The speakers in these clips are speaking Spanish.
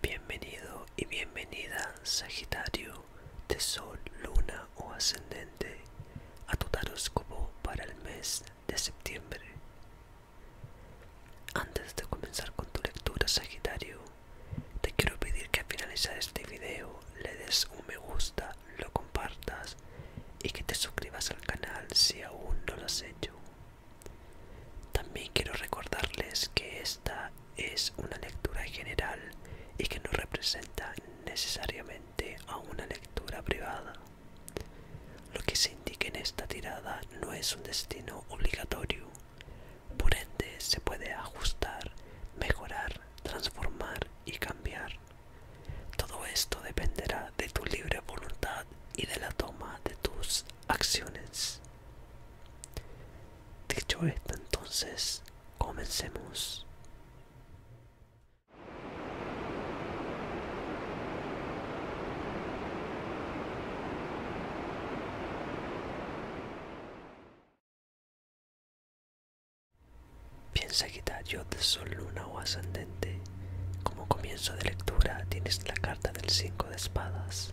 Bienvenido y bienvenida, Sagitario, de Sol, Luna o Ascendente, a tu taróscopo para el mes de septiembre. Antes de comenzar con tu lectura, Sagitario, te quiero pedir que al finalizar este video le des un me gusta, lo compartas y que te suscribas al canal si aún no lo has hecho. También quiero recordarles que esta es una lectura general y que no representa necesariamente a una lectura privada. Lo que se indique en esta tirada no es un destino obligatorio, por ende se puede ajustar, mejorar, transformar y cambiar. Todo esto dependerá de tu libre voluntad y de la toma de tus acciones. Dicho esto, entonces, comencemos. Piensa que yo de sol, luna o ascendente. Como comienzo de lectura tienes la carta del Cinco de espadas.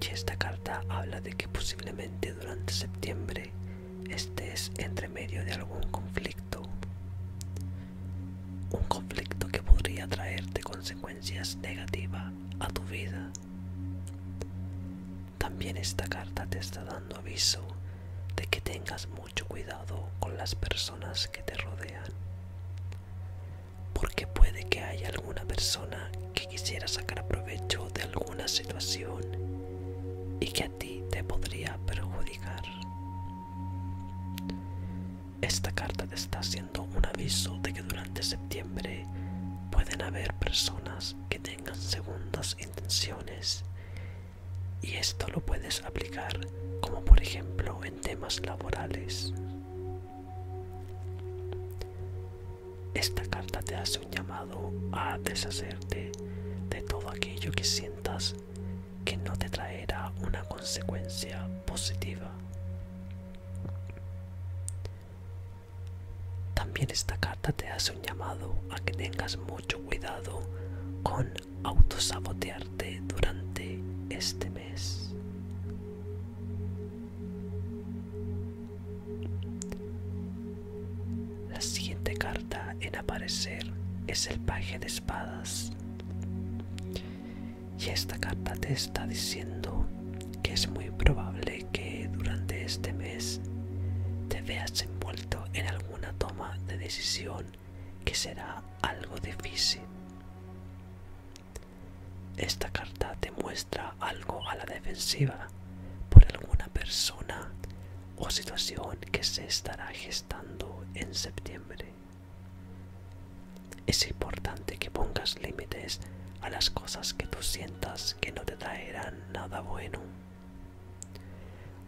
Y esta carta habla de que posiblemente durante septiembre estés entre medio de algún conflicto. Un conflicto que podría traerte consecuencias negativas a tu vida. También esta carta te está dando aviso de que tengas mucho cuidado con las personas que te rodean, porque puede que haya alguna persona que quisiera sacar provecho de alguna situación y que a ti te podría perjudicar. Esta carta te está haciendo un aviso de que durante septiembre pueden haber personas que tengan segundas intenciones y esto lo puedes aplicar como por ejemplo temas laborales. Esta carta te hace un llamado a deshacerte de todo aquello que sientas que no te traerá una consecuencia positiva. También esta carta te hace un llamado a que tengas mucho cuidado con autosabotearte durante este mes. La siguiente carta en aparecer es el paje de espadas. Y esta carta te está diciendo que es muy probable que durante este mes te veas envuelto en alguna toma de decisión que será algo difícil. Esta carta te muestra algo a la defensiva por alguna persona o situación que se estará gestando en septiembre. Es importante que pongas límites a las cosas que tú sientas que no te traerán nada bueno.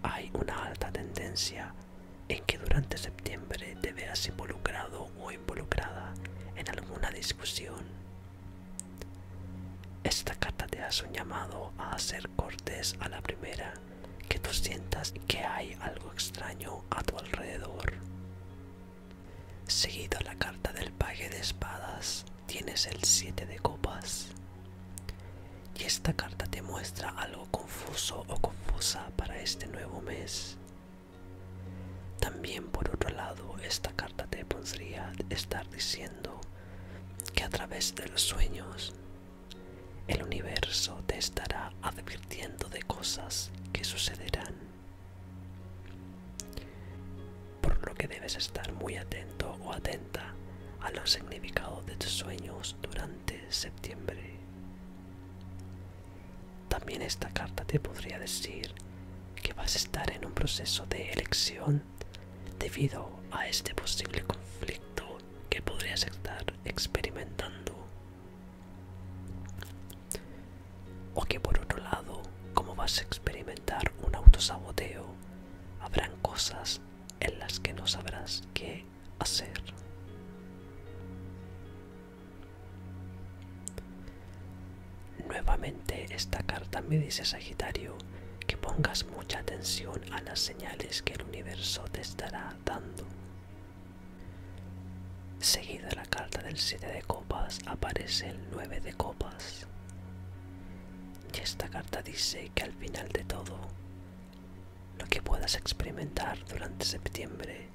Hay una alta tendencia en que durante septiembre te veas involucrado o involucrada en alguna discusión. Esta carta te hace un llamado a hacer cortes a la primera que tú sientas que hay algo extraño a tu alrededor. Seguido a la carta del paje de espadas tienes el 7 de copas. Y esta carta te muestra algo confuso o confusa para este nuevo mes. También por otro lado, esta carta te podría estar diciendo que a través de los sueños el universo te estará advirtiendo de cosas que sucederán. Por lo que debes estar muy atento o atenta a los significados de tus sueños durante septiembre. También esta carta te podría decir que vas a estar en un proceso de elección debido a este posible conflicto que podrías estar experimentando. O que por otro lado, como vas a experimentar un autosaboteo, habrán cosas en las que no sabrás qué hacer. Nuevamente esta carta me dice Sagitario que pongas mucha atención a las señales que el universo te estará dando. Seguida la carta del 7 de copas aparece el 9 de copas. Y esta carta dice que al final de todo lo que puedas experimentar durante septiembre,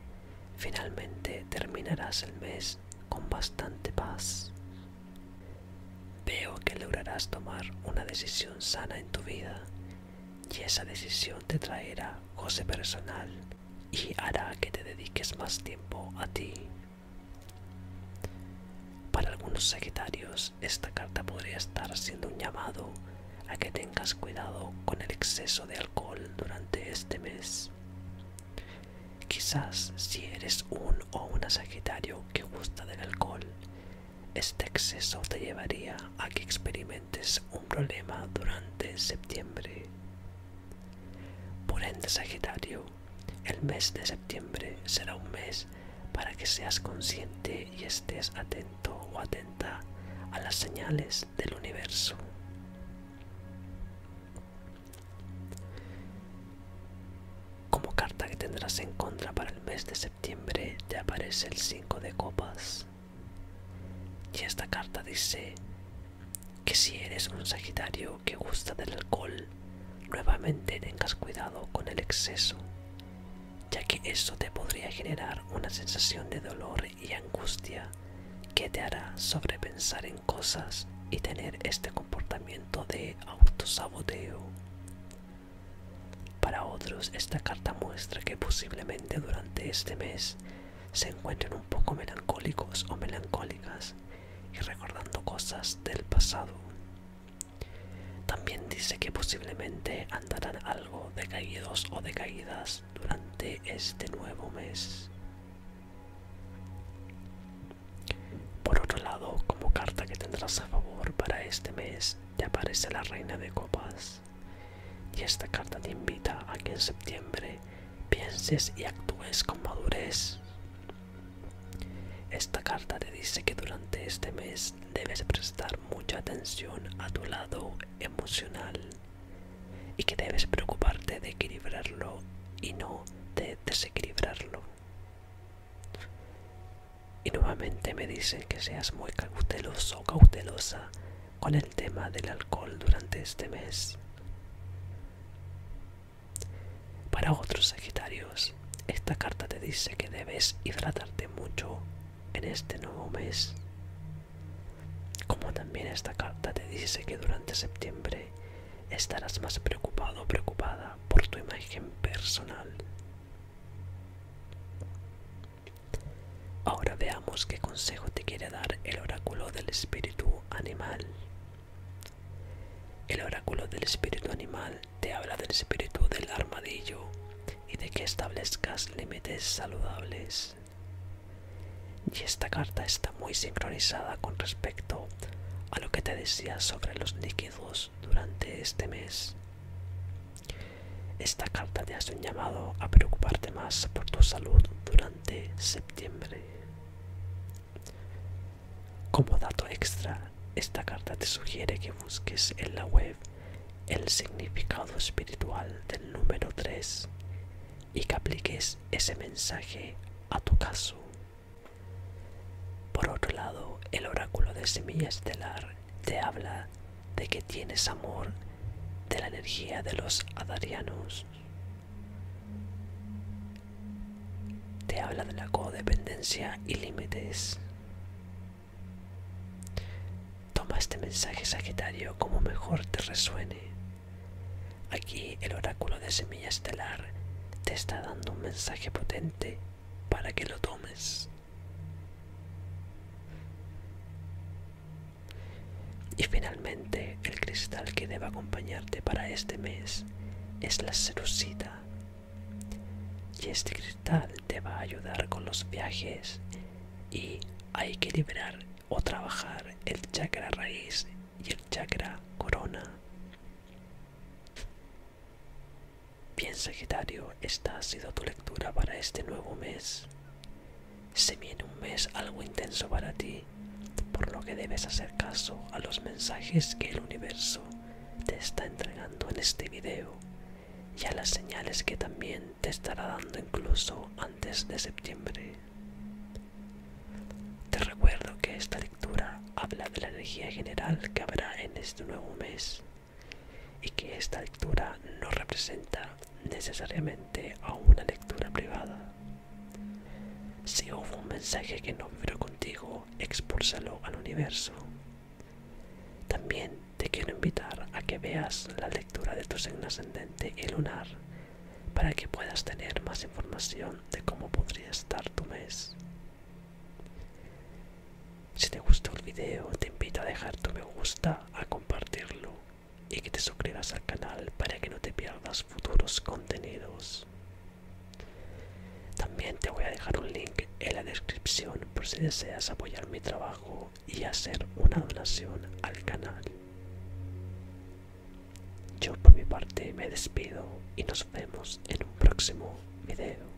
finalmente terminarás el mes con bastante paz. Veo que lograrás tomar una decisión sana en tu vida y esa decisión te traerá goce personal y hará que te dediques más tiempo a ti. Para algunos Sagitarios, esta carta podría estar siendo un llamado a que tengas cuidado con el exceso de alcohol durante este mes. Quizás si eres un o una Sagitario que gusta del alcohol, este exceso te llevaría a que experimentes un problema durante septiembre. Por ende, Sagitario, el mes de septiembre será un mes para que seas consciente y estés atento o atenta a las señales del universo. Como carta que tendrás en contra para el mes de septiembre te aparece el 5 de copas. Y esta carta dice que si eres un Sagitario que gusta del alcohol, nuevamente tengas cuidado con el exceso, ya que eso te podría generar una sensación de dolor y angustia que te hará sobrepensar en cosas y tener este comportamiento de autosaboteo. Para otros, esta carta muestra que posiblemente durante este mes se encuentren un poco melancólicos o melancólicas y recordando cosas del pasado. También dice que posiblemente andarán algo decaídos o decaídas durante este nuevo mes. Por otro lado, como carta que tendrás a favor para este mes, te aparece la Reina de Copas. Y esta carta te invita a que en septiembre pienses y actúes con madurez. Esta carta te dice que durante este mes debes prestar mucha atención a tu lado emocional y que debes preocuparte de equilibrarlo y no de desequilibrarlo. Y nuevamente me dicen que seas muy cauteloso o cautelosa con el tema del alcohol durante este mes. Para otros Sagitarios, esta carta te dice que debes hidratarte mucho en este nuevo mes como también esta carta te dice que durante septiembre estarás más preocupado o preocupada por tu imagen personal. Ahora veamos qué consejo te quiere dar el oráculo del espíritu animal. El oráculo del espíritu animal te habla del espíritu del armadillo y de que establezcas límites saludables. Y esta carta está muy sincronizada con respecto a lo que te decía sobre los líquidos durante este mes. Esta carta te hace un llamado a preocuparte más por tu salud durante septiembre. Como dato extra, esta carta te sugiere que busques en la web el significado espiritual del número 3 y que apliques ese mensaje a tu caso. Por otro lado, el oráculo de semilla estelar te habla de que tienes amor de la energía de los adarianos. Te habla de la codependencia y límites. Toma este mensaje, Sagitario, como mejor te resuene. Aquí el oráculo de semilla estelar te está dando un mensaje potente para que lo tomes. Y finalmente, el cristal que debe acompañarte para este mes es la serucita Y este cristal te va a ayudar con los viajes y hay que liberar o trabajar el chakra raíz y el chakra corona. Bien Sagitario, esta ha sido tu lectura para este nuevo mes. Se viene un mes algo intenso para ti, por lo que debes hacer caso a los mensajes que el universo te está entregando en este video y a las señales que también te estará dando incluso antes de septiembre. Te recuerdo que esta lectura habla de la energía general que habrá en este nuevo mes y que esta lectura no representa necesariamente a una lectura privada. Si hubo un mensaje que no vino contigo, expulsalo al universo. También te quiero invitar a que veas la de tu signo ascendente y lunar para que puedas tener más información de cómo podría estar tu mes. Si te gustó el video, te invito a dejar tu me gusta, a compartirlo y que te suscribas al canal para que no te pierdas futuros contenidos. También te voy a dejar un link en la descripción por si deseas apoyar mi trabajo y hacer una donación al canal. Yo por mi parte me despido y nos vemos en un próximo video.